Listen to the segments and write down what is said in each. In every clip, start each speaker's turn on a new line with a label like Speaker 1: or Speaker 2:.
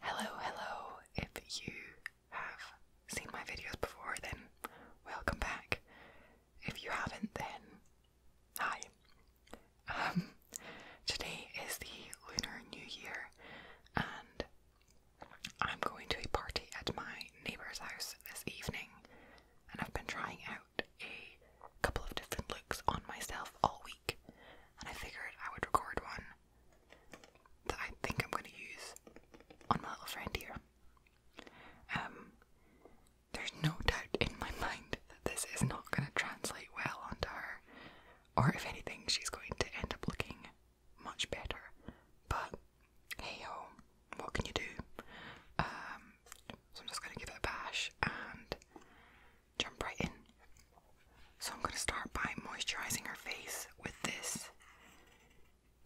Speaker 1: Hello, hello. If you have seen my videos before, then welcome back. If you haven't, then hi. Um, today is the Lunar New Year, and I'm going to a party at my neighbor's house this evening, and I've been trying out a couple of different looks on myself all week, and I figured I would record one that I think I'm going to use on my little friend here. Um, there's no doubt in my mind that this is not going to translate well onto her, or if anything, she's going to end up looking much better. But hey ho, what can you do? Um, so I'm just going to give it a bash and jump right in. So I'm going to start by moisturizing her face with this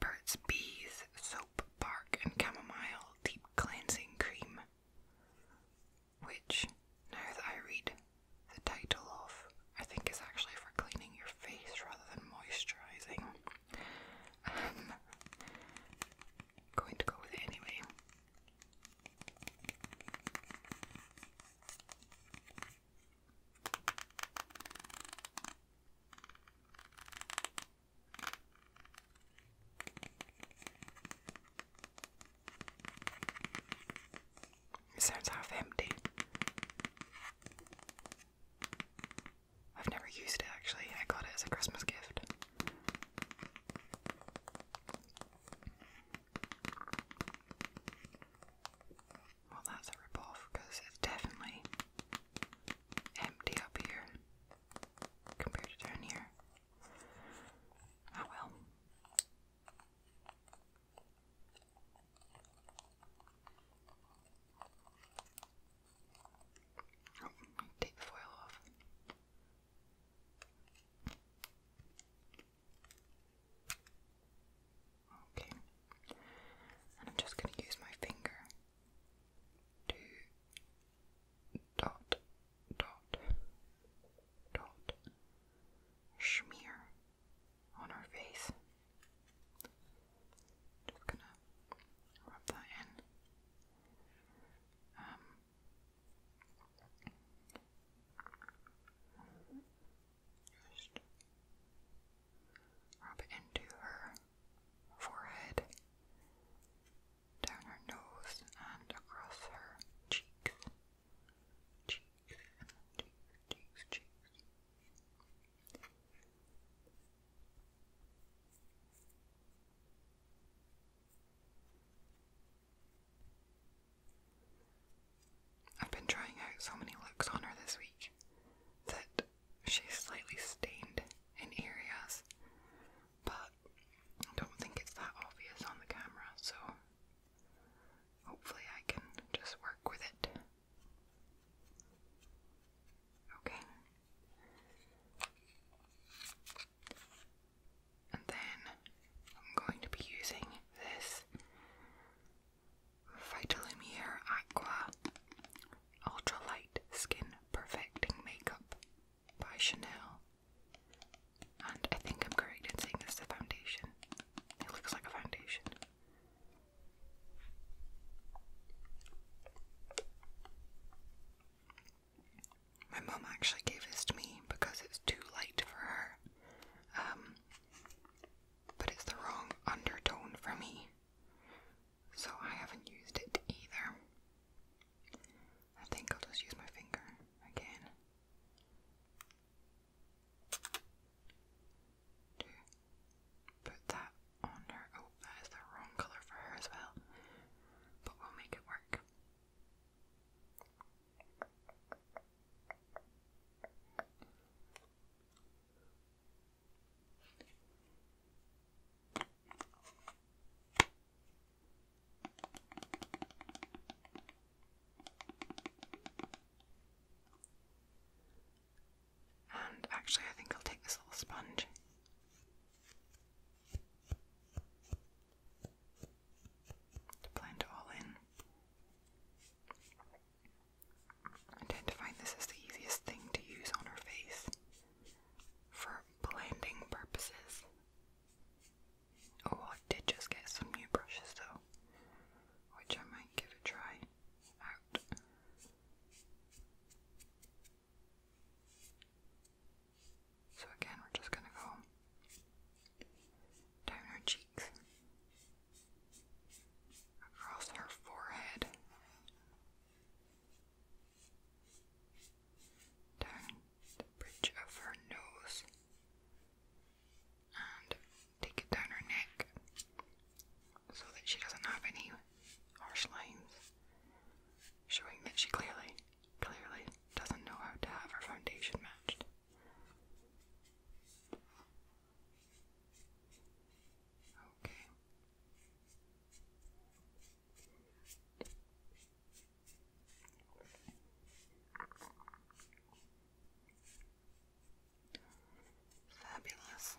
Speaker 1: Burt's Bees Soap, Bark, and Chamomile Deep Cleansing Cream, which, now that I read the title of, I think is actually for cleaning your face rather than moisturizing. Um, going to go with anyway. It sounds half empty. I've never used it actually, I got it as a Christmas gift. Well, that's a ripoff because it's definitely empty up here compared to down here. Oh well. Oh, take the foil off. Okay. And I'm just going to use my finger to dot, dot, dot, smear on her face. Just gonna rub that in. Um, just rub it into her forehead, down her nose, and across her cheeks. Cheeks, cheeks, cheeks, cheeks. I've been trying out so many looks on her this week that she's slightly stained in areas, but I don't think it's that obvious on the camera, so hopefully I can just work with it. Okay. And then I'm going to be using this Vitalumiere Aqua Ultra Light Skin Perfecting Makeup by Chanel. And I think I'm correct in saying this is a foundation. It looks like a foundation. My mum actually gave this to me because it's too light for her. Um, but it's the wrong undertone for me, so I haven't used it either. I think I'll just use my finger again. To put that on her. Oh, that is the wrong colour for her as well. But we'll make it work. And actually, I think I'll take this little sponge. To blend all in. I tend to find this is the easiest thing to use on her face for blending purposes. Oh, I did just get some new brushes though, which I might give a try So again, we're just gonna go down her cheeks across her forehead, down the bridge of her nose, and take it down her neck so that she doesn't have any harsh lines, showing that she clearly, clearly doesn't know how to have her foundation matched. Fabulous.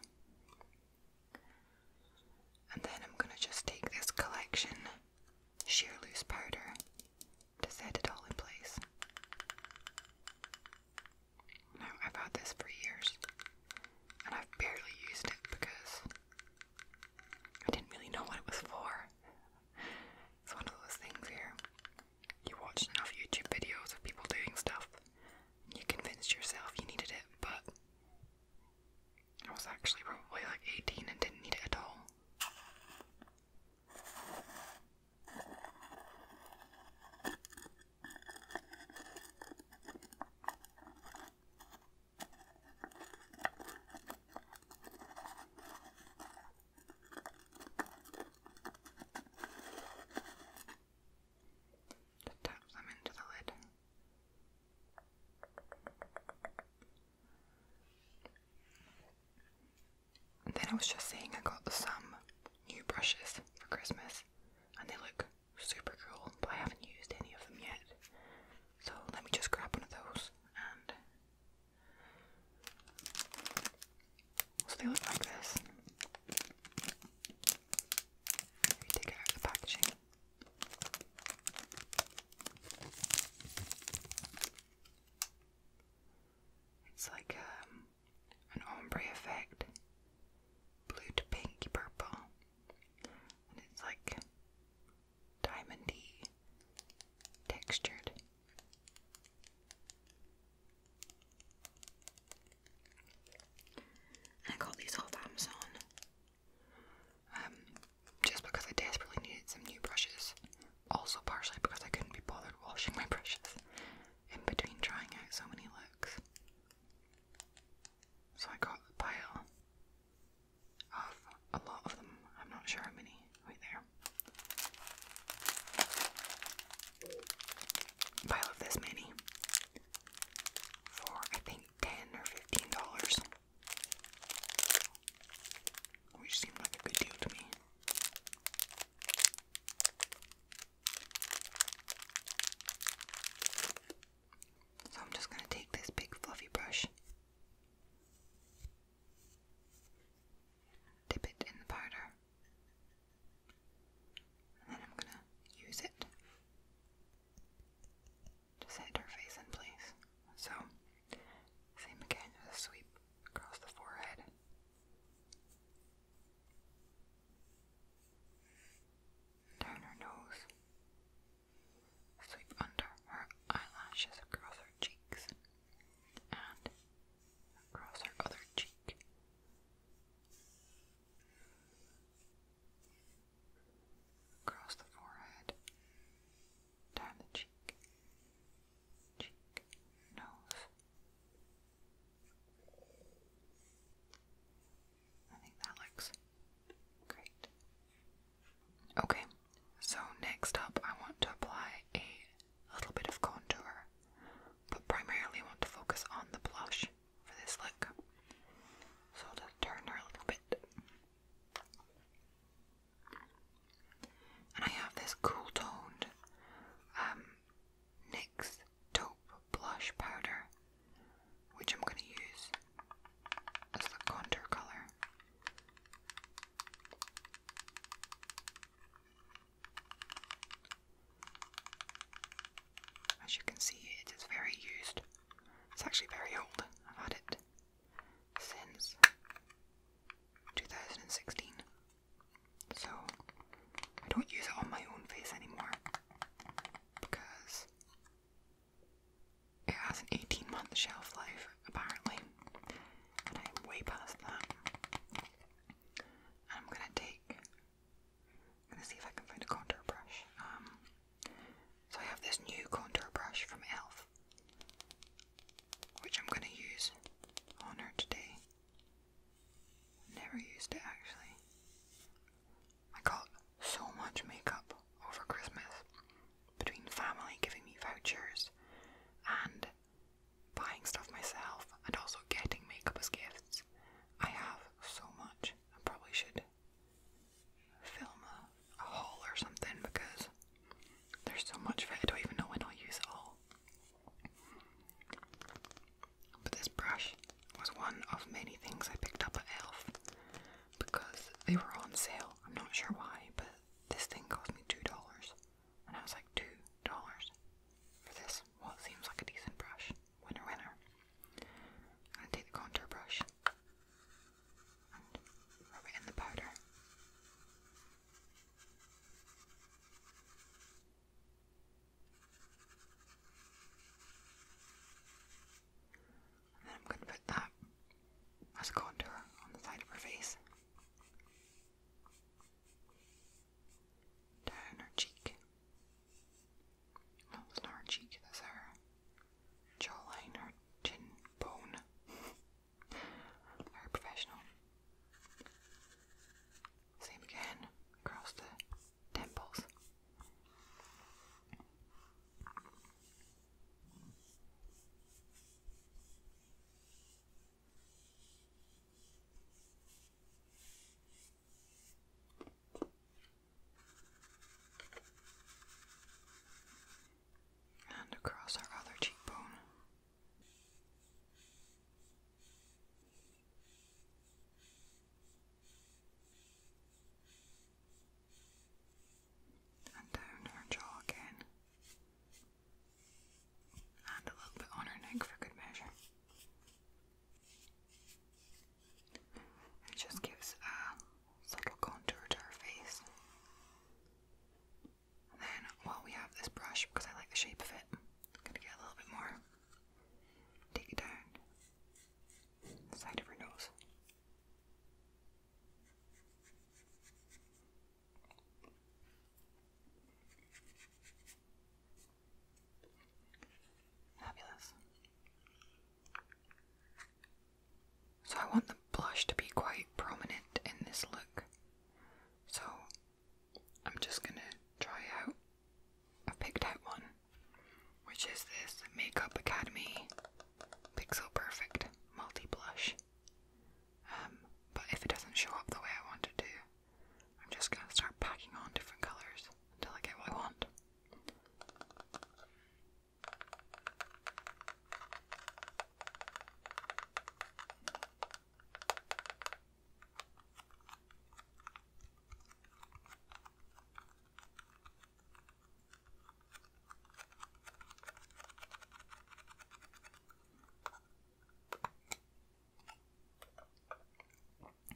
Speaker 1: And then I'm going to just take this collection sheer loose powder to set it all in place. No, I've had this for years. And I've barely used it because I didn't really know what it was for. It's one of those things here. You watched enough YouTube videos of people doing stuff, and you convinced yourself you needed it, but I was actually probably like 18 and didn't need it at all. To tap them into the lid. And then I was just saying I got some new brushes for Christmas and they look super cool, but I haven't used any of them yet. So let me just grab one of those and so they look like this. Maybe take it out of the packaging. It's like um an ombre effect, blue to pinky purple, and it's like diamondy textured. I got these off Amazon um, just because I desperately needed some new brushes. Also, partially because I couldn't be bothered washing my brushes in between trying out so many looks. So I got a pile of a lot of them. I'm not sure how many. Wait there. pile of this many for I think ten or fifteen dollars. Which seemed like a good deal to me. So I'm just going to take this big fluffy brush, dip it in the powder, and then I'm going to use it to set her face in place. So, same again, sweep across the forehead. Down her nose, sweep under her eyelashes across her cheeks, and across her other cheek. Across the forehead, down the cheek, cheek, nose, I think that looks great. Okay, so next up, I want to apply a little bit of contour, but primarily want to focus on the blush for this look. So I'll just turn her a little bit. And I have this cool toned um, NYX taupe blush powder, which I'm going to use as the contour colour. As you can see, it is very used. It's actually very old. I've had it since 2016. So I don't use it on my own face anymore because it has an 18 month shelf life apparently, and I'm way past that. I'm gonna take, gonna see if I can find a contour brush. Um, so I have this new contour brush from Elf, which I'm gonna use on her today. Never used it actually. I got so much makeup over Christmas between family giving me vouchers and buying stuff myself and also getting makeup as gifts. I have so much. I probably should film a, a haul or something because there's so much of it. I don't even know when I'll use it all. But this brush was one of many things I picked up at Elf because they were on sale. I'm not sure why, but this thing cost me $2. And I was like, $2 for this? Well, it seems like a decent brush. Winner, winner. I'm going to take the contour brush rub it in the powder. And then I'm going to put that as a contour on the side of her face. Down her cheek. not her cheek, that's her jawline, her chin bone. Very professional. Same again across the temples. And across our other cheekbone. And down her jaw again. And a little bit on her neck for good measure. It just gives a subtle contour to her face. then while we have this brush, because I like the shape of it, I'm going to get a little bit more Take it down the side of her nose. Fabulous. So I want the blush to be quite prominent in this look. So I'm just gonna try out. i picked out one, which is this Makeup Academy Pixel Perfect Multi Blush. Um, but if it doesn't show up the way I want it to, I'm just gonna start packing on different colours until I get what I want.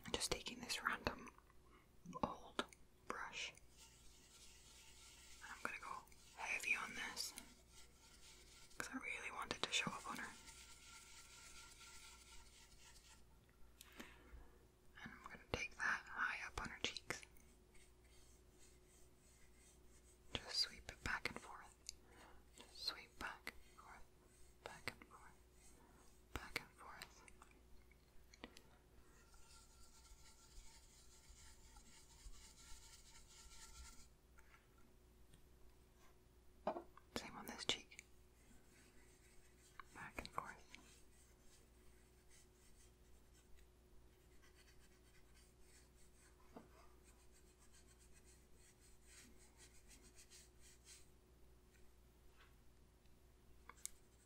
Speaker 1: I'm just taking this random old brush I'm gonna go heavy on this because I really wanted to show up on her. And I'm going to take that high up on her cheeks. Just sweep it back and forth. Just sweep back and forth, back and forth, back and forth. Same on this cheek back and forth.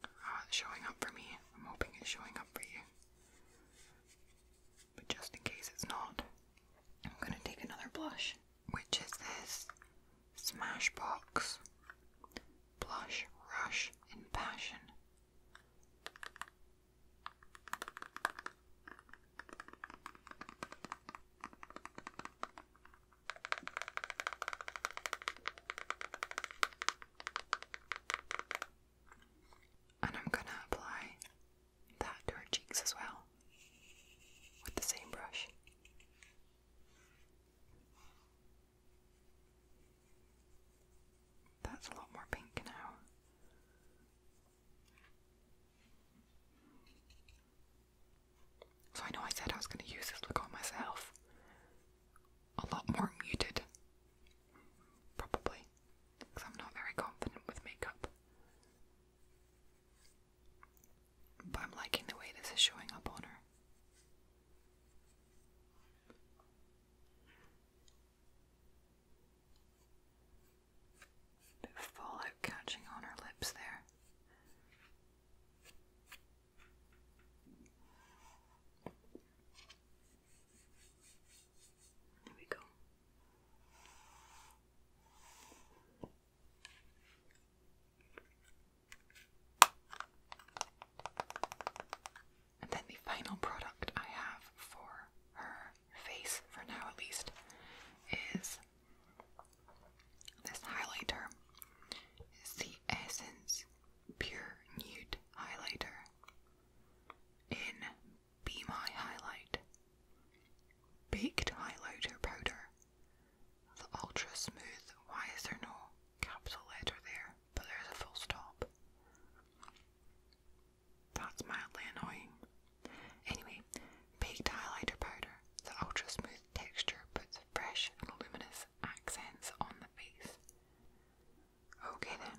Speaker 1: Oh, showing up for me. I'm hoping it's showing up for you. But just in case it's not, I'm gonna take another blush which is this Smashbox Blush Rush in Passion. And I'm going to apply that to her cheeks as well with the same brush. That's a lot more pink now. So I know I said I was going to use this look on myself. A lot more muted. Probably. Because I'm not very confident with makeup. But I'm liking the way this is showing up on her. Bit of fallout catching on her lips there. There we go. And then the final product I have for her face, for now at least, is this highlighter. It's the Essence Pure Nude Highlighter in Be My Highlight. Baked highlighter powder the ultra smooth, why is there no capital letter there? But there's a full stop. That's mildly annoying. Anyway, baked highlighter powder. The ultra smooth texture puts fresh and luminous accents on the face. Okay then.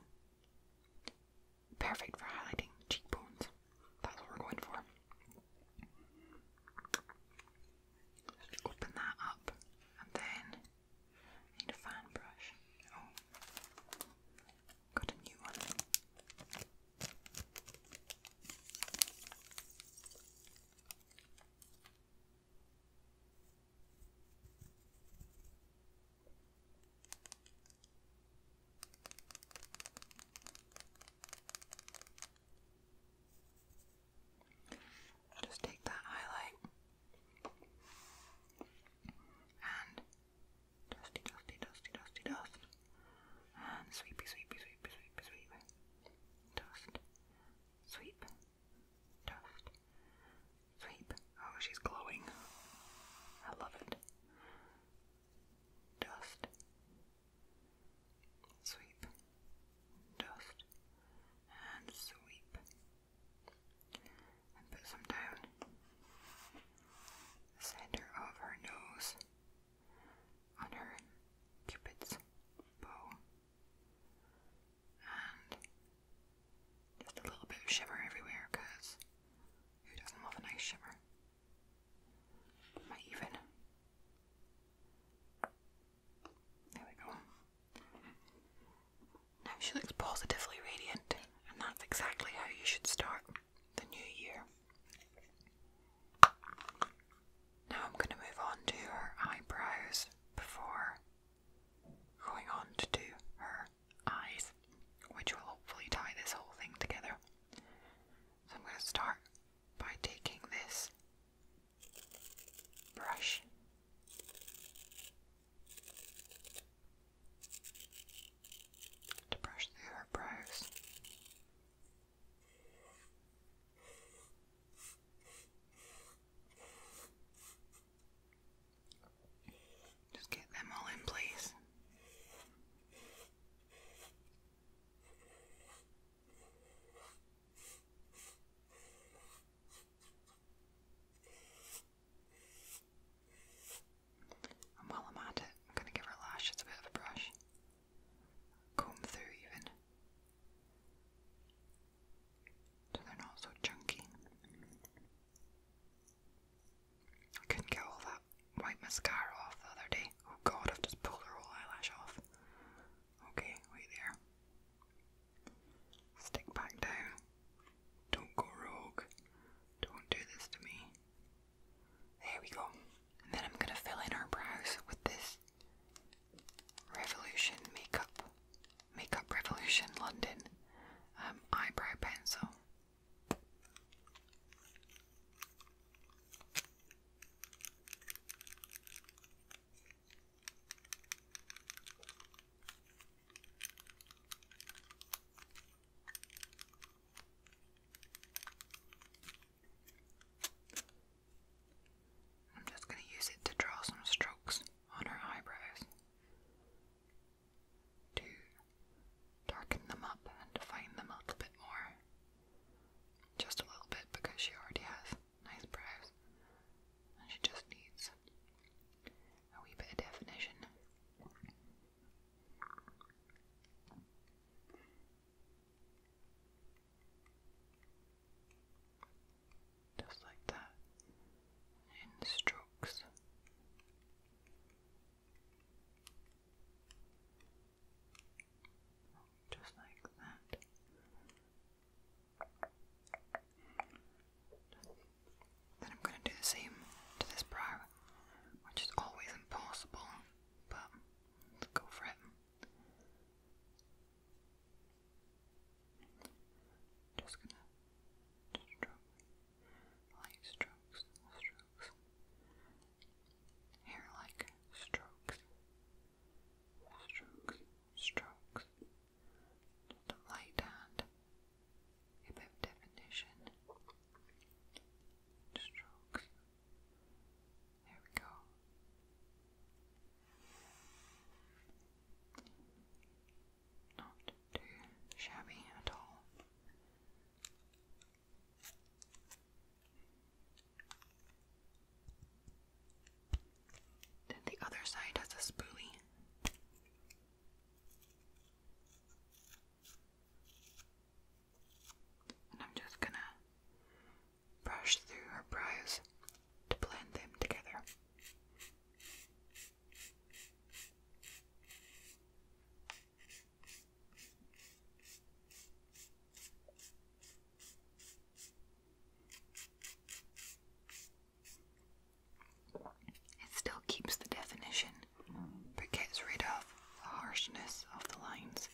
Speaker 1: Perfect for highlighting cheekbones. That's what we're going for. Open that up and then I need a fan brush. Oh, got a new one. Just take that highlight and dusty, dusty, dusty, dusty, dust, and sweepy, sweepy, sweepy, sweepy, sweep, dust, sweep, dust, sweep. Oh, she's glowing. I love it. Dust, Sweep, dust, and sweep. And put some down the center of her nose on her cupid's bow. And just a little bit of shimmer everywhere who doesn't love a nice shimmer? Might even there we go. Now she looks positively radiant, and that's exactly how you should start the new year. Now I'm going to move on to her eyebrows before going on to do her eyes, which will hopefully tie this whole thing together. So I'm going to start by taking this brush. To brush through her Just get them all in place. I'm going to give her lashes a bit of a brush. Comb through even. So they're not so chunky. I couldn't get all that white mascara off the other day. Oh god, I've just pulled her whole eyelash off. Okay, wait there. Stick back down. Don't go rogue. Don't do this to me. There we go. then I'm gonna fill in her brows with this Revolution Makeup. Makeup Revolution London um, eyebrow pencil. I'm just going to use it to draw some strokes on her eyebrows to darken them up and define them a little bit more. Just a little bit because she already has nice brows, and she just needs a wee bit of definition. Just like that, in strokes. Just like that. Then I'm going to do the same to this brow, which is always impossible, but let's go for it. Just gonna stroke, light strokes, strokes, hair like strokes, strokes strokes. light hand, a bit definition. Strokes. There we go. Not too shabby at all. Then the other side has a spoolie. And I'm just gonna brush through her brows to blend them together. It still keeps the definition, but gets rid of the harshness of the lines.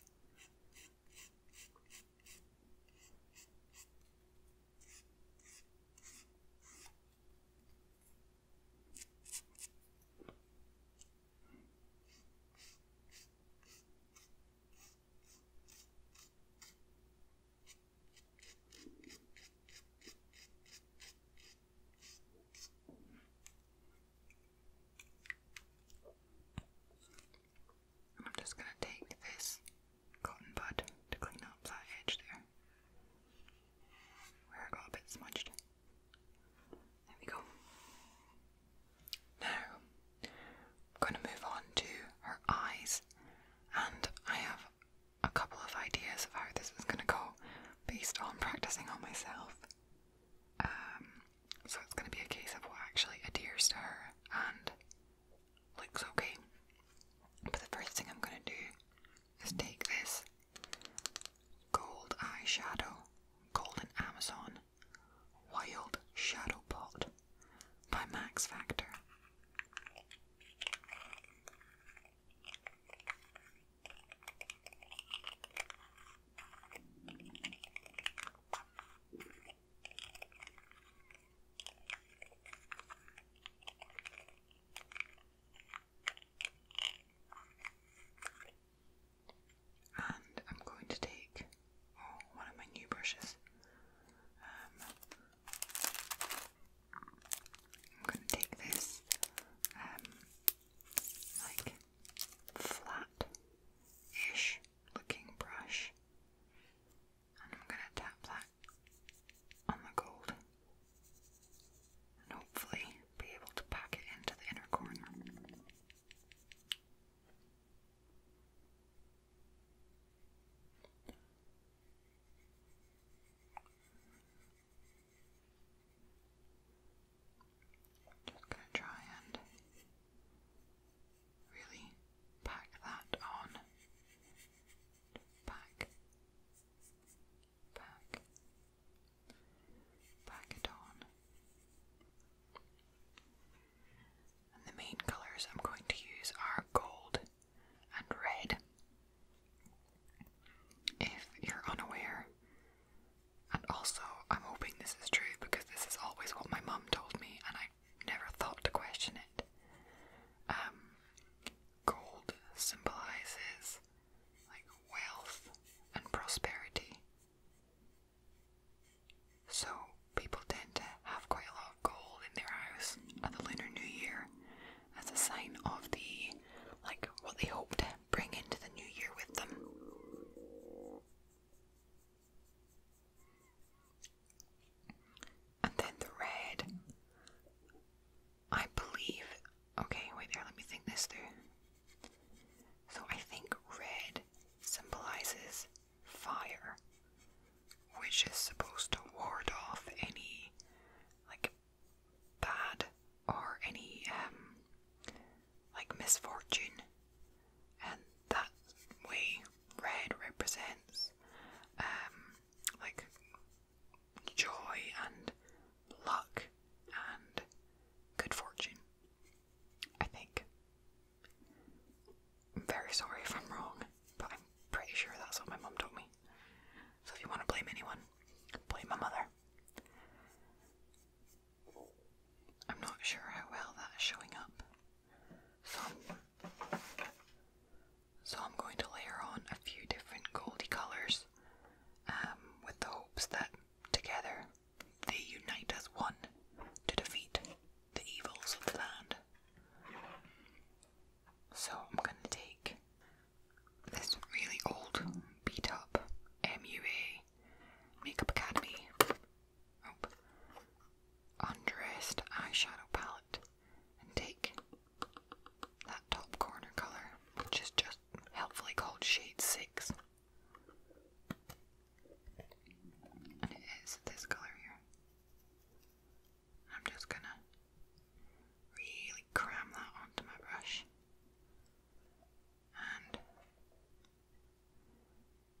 Speaker 1: And I'm just going to take this cotton bud to clean up that edge there where I got a bit smudged. There we go. Now, going to move on to her eyes, and I have a couple of ideas of how this is going to go based on practicing on myself. Um, so it's going to be a case of what actually adheres to her and looks okay. But the first thing I'm going to do is take this gold eyeshadow, golden Amazon, wild shadow pot by Max Factor. And I'm going to take Oh, one of my new brushes. Um, I'm going to take this um, like flat-ish looking brush and I'm going to tap that on the gold and hopefully be able to pack it into the inner corner. Just going to try and really pack that on. Pack, pack, pack it on. And the main colours I'm going to use are gold and red. If you're unaware, and also I'm hoping this is true because this is always what my mom told me and I never thought to question it. Um, gold symbolizes like wealth and prosperity. So people tend to have quite a lot of gold in their house at the Lunar New Year as a sign of the like what they hope to bring into the new year with them. And then the red I believe okay, wait there, let me think this through. So I think red symbolizes fire, which is supposed to ward off any like bad or any um like misfortune, and that way red represents um like joy and luck and good fortune. I think I'm very sorry if I'm wrong, but I'm pretty sure that's what my mom told me. So if you want to blame anyone, blame my mother. I'm not sure how well that is showing up. So so I'm going to layer on a few different goldy colours um, with the hopes that together they unite as one to defeat the evils of the land. So I'm going to take this really old, beat up MUA Makeup Academy Undressed Eyeshadow Palette and take that top corner colour, which is just helpfully called Shade 6. And it is this colour here. I'm just gonna really cram that onto my brush and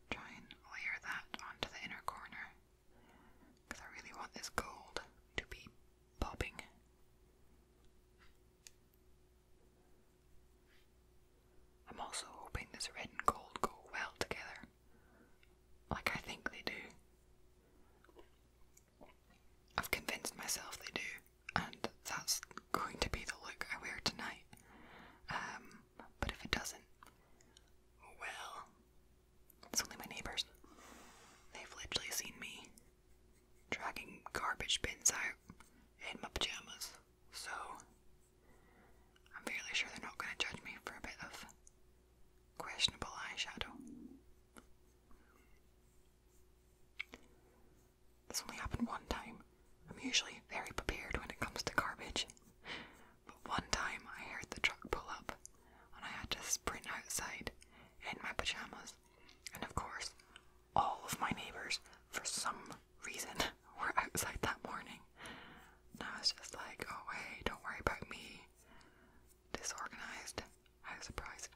Speaker 1: try and layer that onto the inner corner because I really want this gold to be popping. I'm also hoping this red and gold go well together. Like, I think they do. I've convinced myself they do, and that's going to be the look I wear tonight. Um, but if it doesn't, well, it's only my neighbours. They've literally seen me dragging garbage bins out in my pyjamas, so I'm fairly sure they're not going to judge me for a bit of questionable eyeshadow. This only happened one time. I'm usually very prepared when it comes to garbage. But one time I heard the truck pull up and I had to sprint outside in my pajamas. And of course, all of my neighbors, for some reason, were outside that morning. And I was just like, oh, hey, don't worry about me disorganized. I was surprised.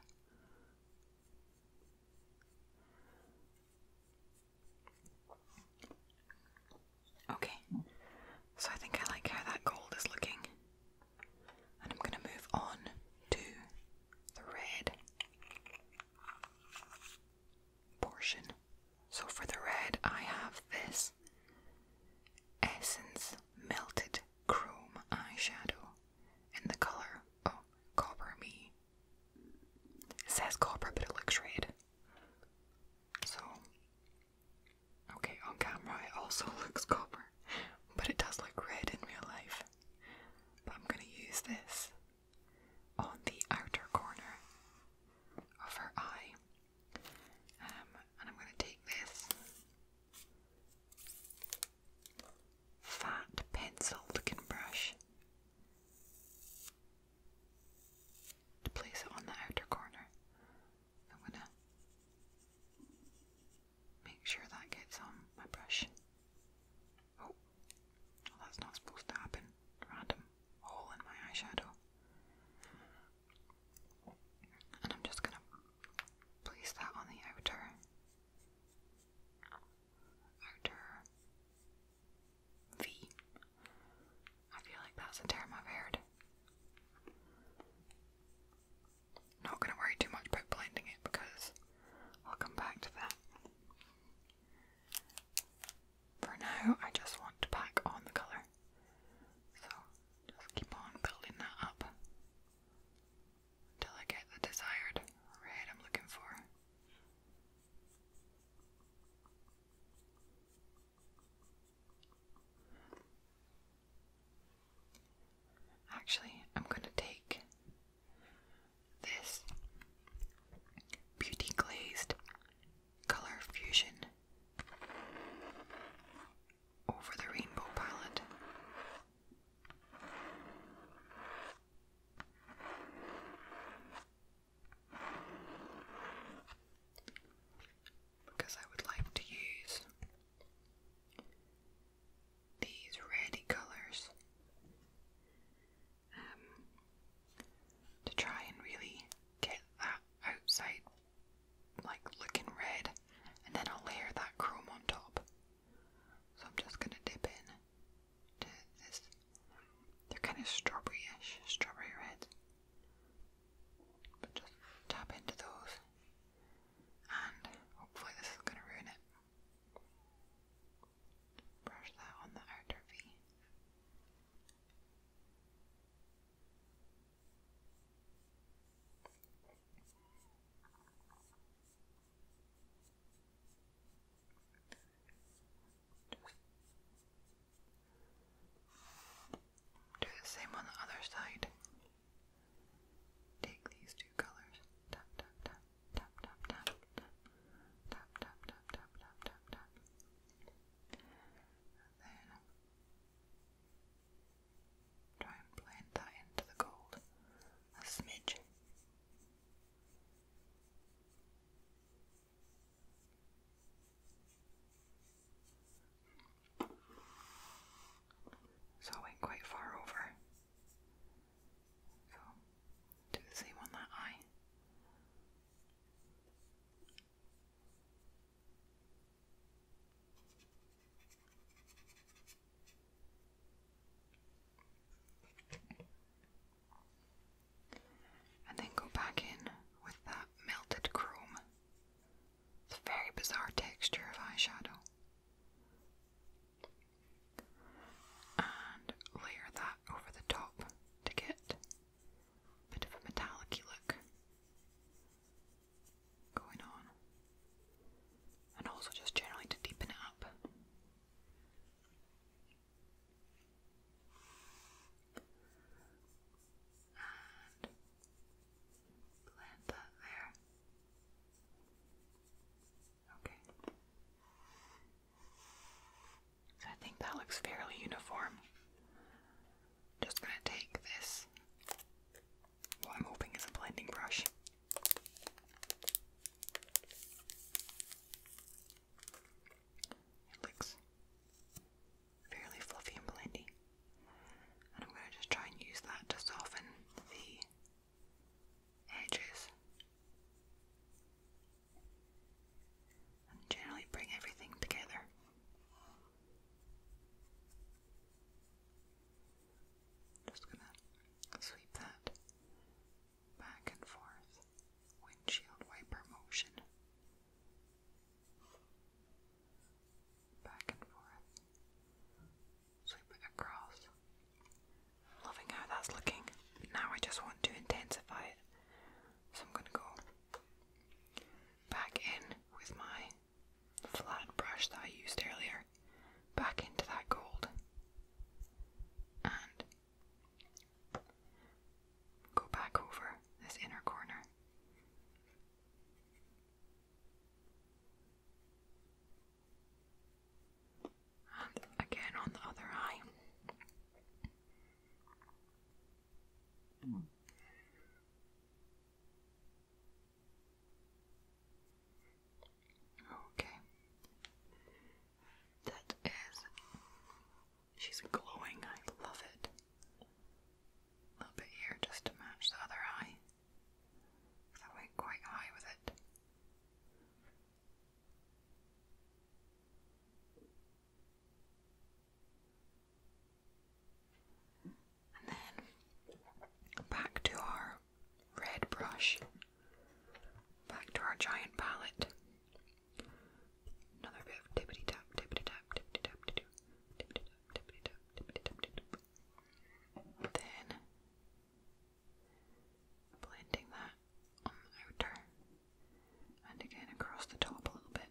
Speaker 1: Okay, so I think I like how that gold is looking, and I'm going to move on to the red portion. So for the red, I have this Essence. Melted Chrome Eyeshadow in the color of oh, Copper Me. It says copper, but it looks red. So, okay, on camera it also looks copper, but it does look red in real life. I'm gonna use this on the outer corner of her eye. Um, and I'm going to take this fat pencil looking brush to place it on the outer corner. I'm going to make sure that gets on my brush. Oh, that's not supposed to happen. Random hole in my eyeshadow. And I'm just going to place that on the outer, outer V. I feel like that's a term I've heard. Not going to worry too much about blending it because I'll come back to that. For now, I just want to pack on the colour. So just keep on building that up until I get the desired red I'm looking for. Actually, I'm going to take this Beauty Glazed Color Fusion over the rainbow palette. Because I would like to use these reddy colours um, to try and really get that outside like looking red, and then I'll layer that chrome on top. So I'm just gonna dip in to this. They're kind of strawberry-ish, strawberry red. just tap into those, and hopefully this is gonna ruin it. Brush that on the outer V. Do the same on the other side. Take these two colors. Tap tap tap tap tap tap tap tap tap tap tap tap Try and blend that into the gold a smidge. So I went quite far over. do the same on that eye. And then go back in with that melted chrome. It's very bizarre texture of eyeshadow. And layer that over the top to get a bit of a metallic look going on, and also just generally to deepen it up. And blend that there. Okay. So I think that looks fairly uniform. Just gonna take this what I'm hoping is a blending brush. It looks fairly fluffy and blendy. And I'm going to just try and use that to soften the edges. And generally bring everything together. Just gonna sweep that back and forth. Windshield wiper motion. Back and forth. Sweep it across. Loving how that's looking. Now I just want to intensify it. So I'm gonna go back in with my flat brush that I used earlier back into that gold and go back over this inner corner. And again on the other eye. Hmm. Okay. That is. She's glowing. I love it. A little bit here just to match the other eye. I went quite high with it. And then back to our red brush, back to our giant palette. Another bit of tippity tap, tippity tap, tippity tap, tippity tap, tippity tap, tippity tap. Then blending that on the outer and again across the top a little bit.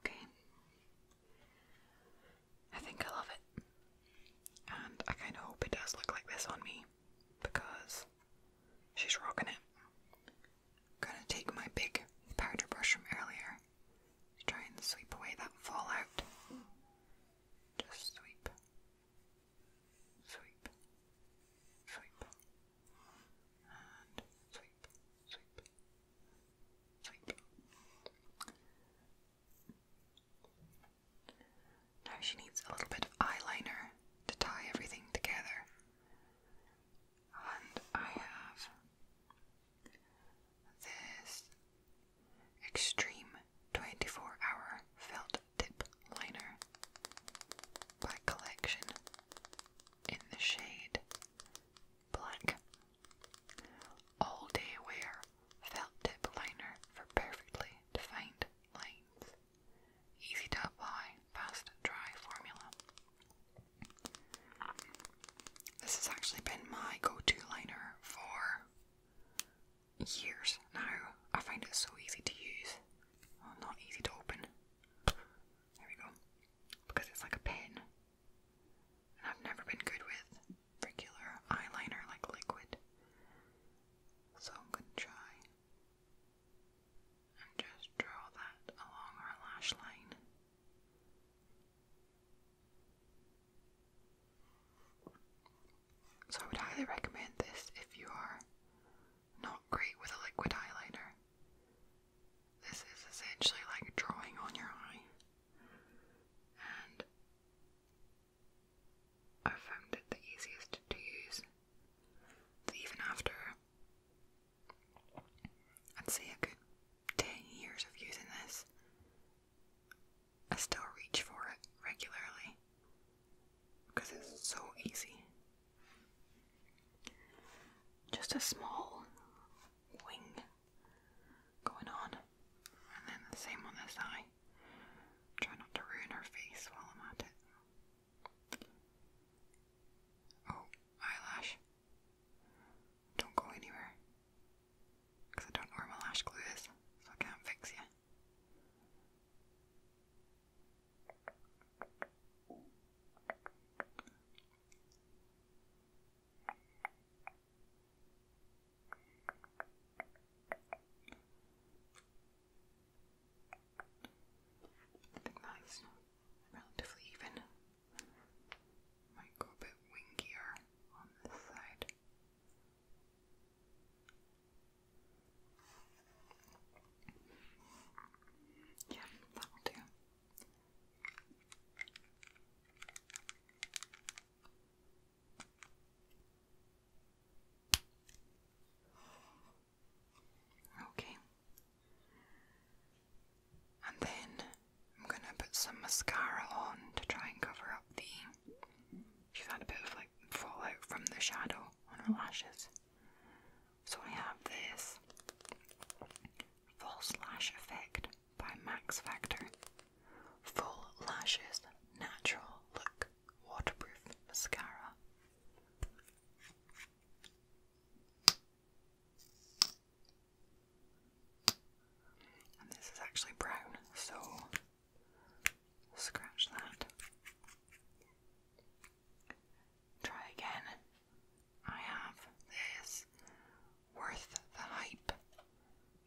Speaker 1: Okay. I think I love it. And I kind of hope it does look like this on me because she's rocking it. gonna take my big powder brush from earlier try and sweep away that fallout. Just sweep, sweep, sweep, now she needs a little bit of eyeliner to tie everything together. And I have this Extreme 24 Hour Felt Tip Liner by Collection in the shade blank. All day wear felt tip liner for perfectly defined lines. Easy to apply, fast dry formula. This has actually been my go to liner for years now. I find it so easy to use. not easy to open. There we go. Because it's like a pen. I've never been good with regular eyeliner like liquid. So I'm gonna try and just draw that along our lash line. So I would highly recommend this if you are not great with a liquid eyeliner. This is essentially like drawing on your eye, and I found it the easiest to use. Even after I'd say a good 10 years of using this, I still reach for it regularly because it's so easy. Just a small wing going on. And then the same on this eye. Try not to ruin her face while I'm at it. Oh, eyelash. Don't go anywhere. Because I don't know where my lash glue is, so I can't fix you. I think that is relatively even. Might go a bit wingier on this side. Yeah, that will do. Okay. And then I'm going to put some mascara on to try and cover up the. She's had a bit of like fallout from the shadow on her lashes. So I have this False Lash Effect by Max Factor. Full Lashes Natural Look Waterproof Mascara. And this is actually brown, so scratch that. Try again I have this Worth the Hype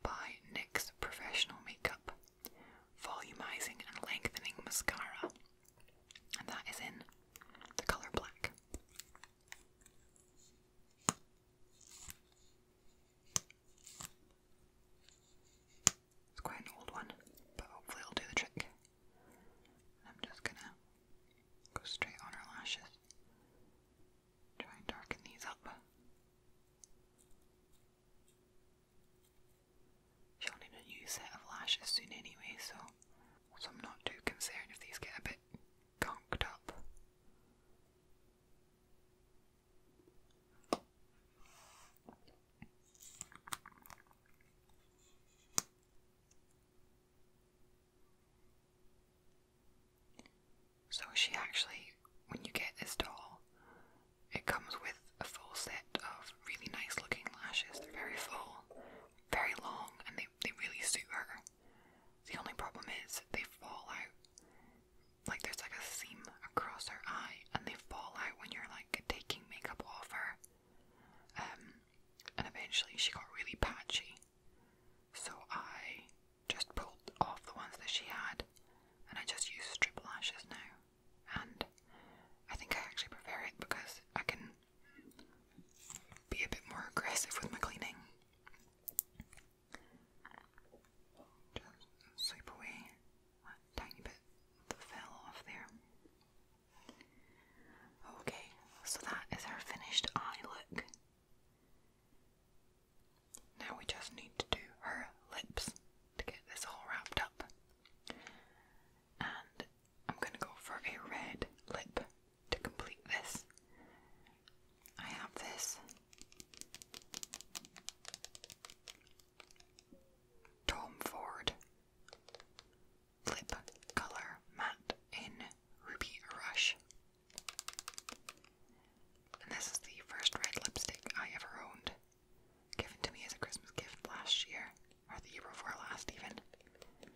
Speaker 1: by NYX Professional Makeup Volumizing and Lengthening Mascara, and that is in the colour black. It's quite an old one, but hopefully it'll do the trick. I'm just gonna go straight on her lashes Try and darken these up. She'll need a new set of lashes soon anyway, so, so I'm not too concerned if these get a bit conked up. So she actually, when you get this doll, it comes with a full set of really nice looking lashes. They're very full, very long, and they, they really suit her. The only problem is they fall out. Like there's like a seam across her eye, and they fall out when you're like taking makeup off her. Um, and eventually she got really patchy. So I just pulled off the ones that she had and I just use triple lashes now. And I think I actually prefer it because I can be a bit more aggressive with my cleaning. Just sweep away that tiny bit that fell off there. Okay, so that is our finished eye look. Now we just need to do her lips to get this all wrapped up. And I'm going to go for a red lip to complete this. I have this Tom Ford lip colour matte in Ruby Rush. And this is the first red lipstick I ever owned, given to me as a Christmas gift last year, or the year before last, even. And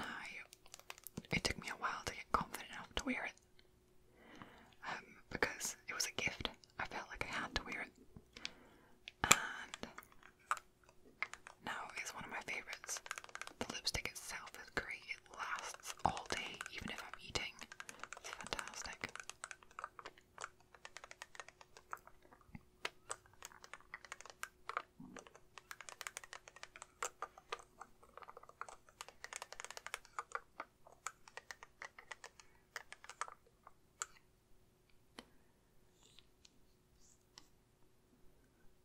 Speaker 1: I, it took me a while to get confident enough to wear it, um, because it was a gift. I felt like I had to wear it, now it's one of my favorites. The lipstick itself is great. It lasts all day, even if I'm eating. It's fantastic.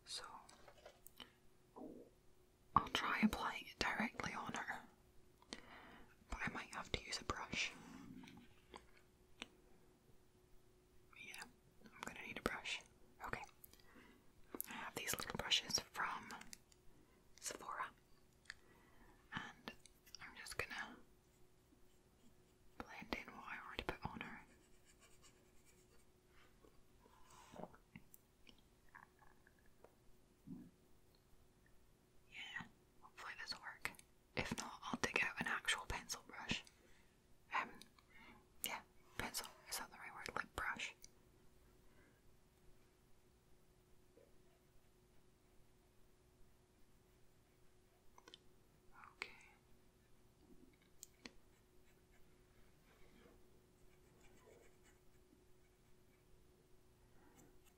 Speaker 1: So, I'll try applying it directly on her, but I might have to use a brush. Yeah, I'm gonna need a brush. Okay. I have these little brushes from Sephora, and I'm just gonna blend in what I already put on her. Yeah, hopefully this'll work. If not, I'll dig out an actual pencil brush. Um, yeah, pencil, is that the right word? Lip brush. Okay.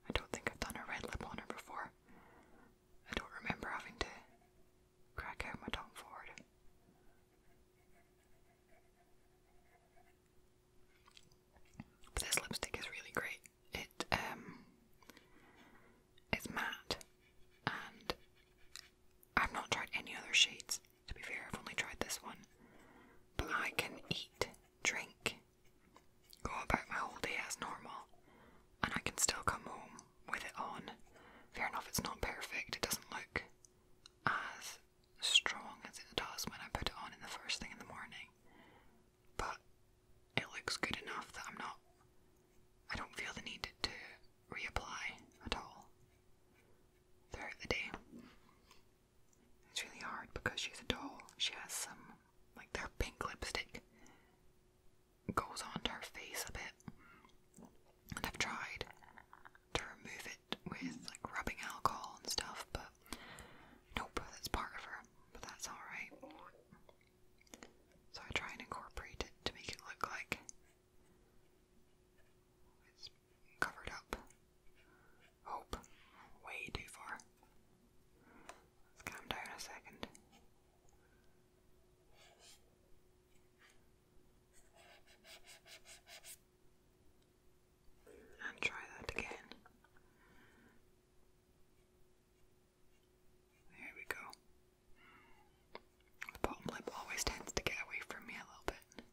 Speaker 1: I don't think I've done a red lip on her before. I don't remember having to crack out my tongue forward. But this lipstick is really great. It um it's matte and I've not tried any other shades to be fair, I've only tried this one. But I can eat, drink, go about my whole day as normal, and I can still come home with it on. Fair enough, it's not perfect, it doesn't look as strong as it does when I put it on in the first thing in the morning, but it looks good enough that I'm not. I don't feel the need to reapply at all throughout the day. It's really hard because she's a doll. She has some, like, their pink lipstick goes onto her face a bit. And I've tried to remove it with, like, rubbing alcohol and stuff, but nope, that's part of her. But that's alright. So I try and incorporate it to make it look like it's covered up. Hope. Way too far. Let's calm down a second. And try that again. There we go. The bottom lip always tends to get away from me a little bit.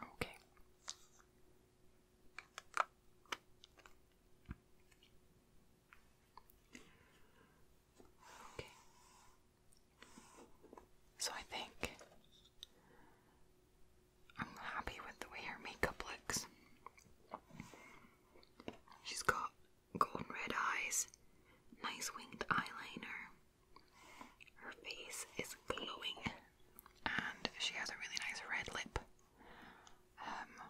Speaker 1: Okay. Okay. So I think I'm happy with the way her makeup looks. She's got golden red eyes, nice winged eyeliner. Her face is glowing, and she has a really nice red lip. Um,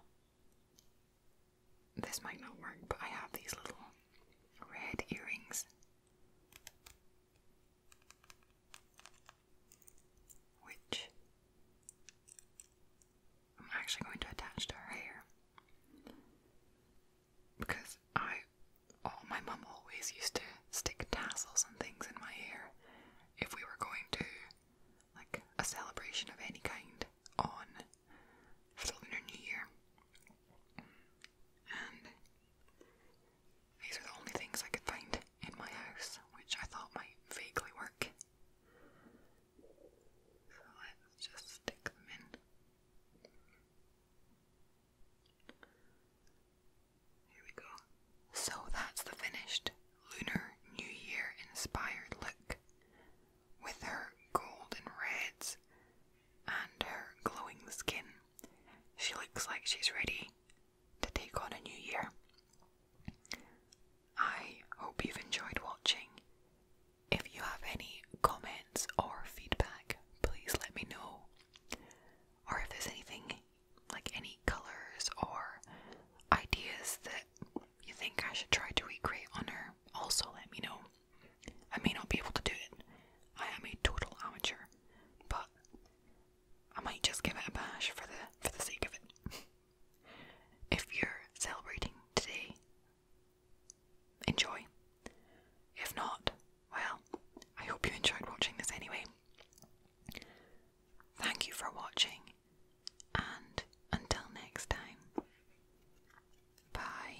Speaker 1: this might not work, but I have these little red earrings which I'm actually going to attach to her hair because I, oh, my mum always used to stick tassels and things in my hair if we were going to like a celebration of any kind on for the Lunar New Year. And these are the only things I could find in my house, which I thought might vaguely work. So let's just stick them in. Here we go. So that's the finished Lunar New Year inspired look with her golden reds and her glowing skin. She looks like she's ready to take on a new year. I hope you've enjoyed watching. If you have any comments or feedback, please let me know. Or if there's anything like any colours or ideas that you think I should try to recreate on her, also let me know. I may not be able to do it. I am a total amateur, but I might just give it a bash for the for the sake of it. if you're celebrating today, enjoy. If not, well, I hope you enjoyed watching this anyway. Thank you for watching, and until next time, bye.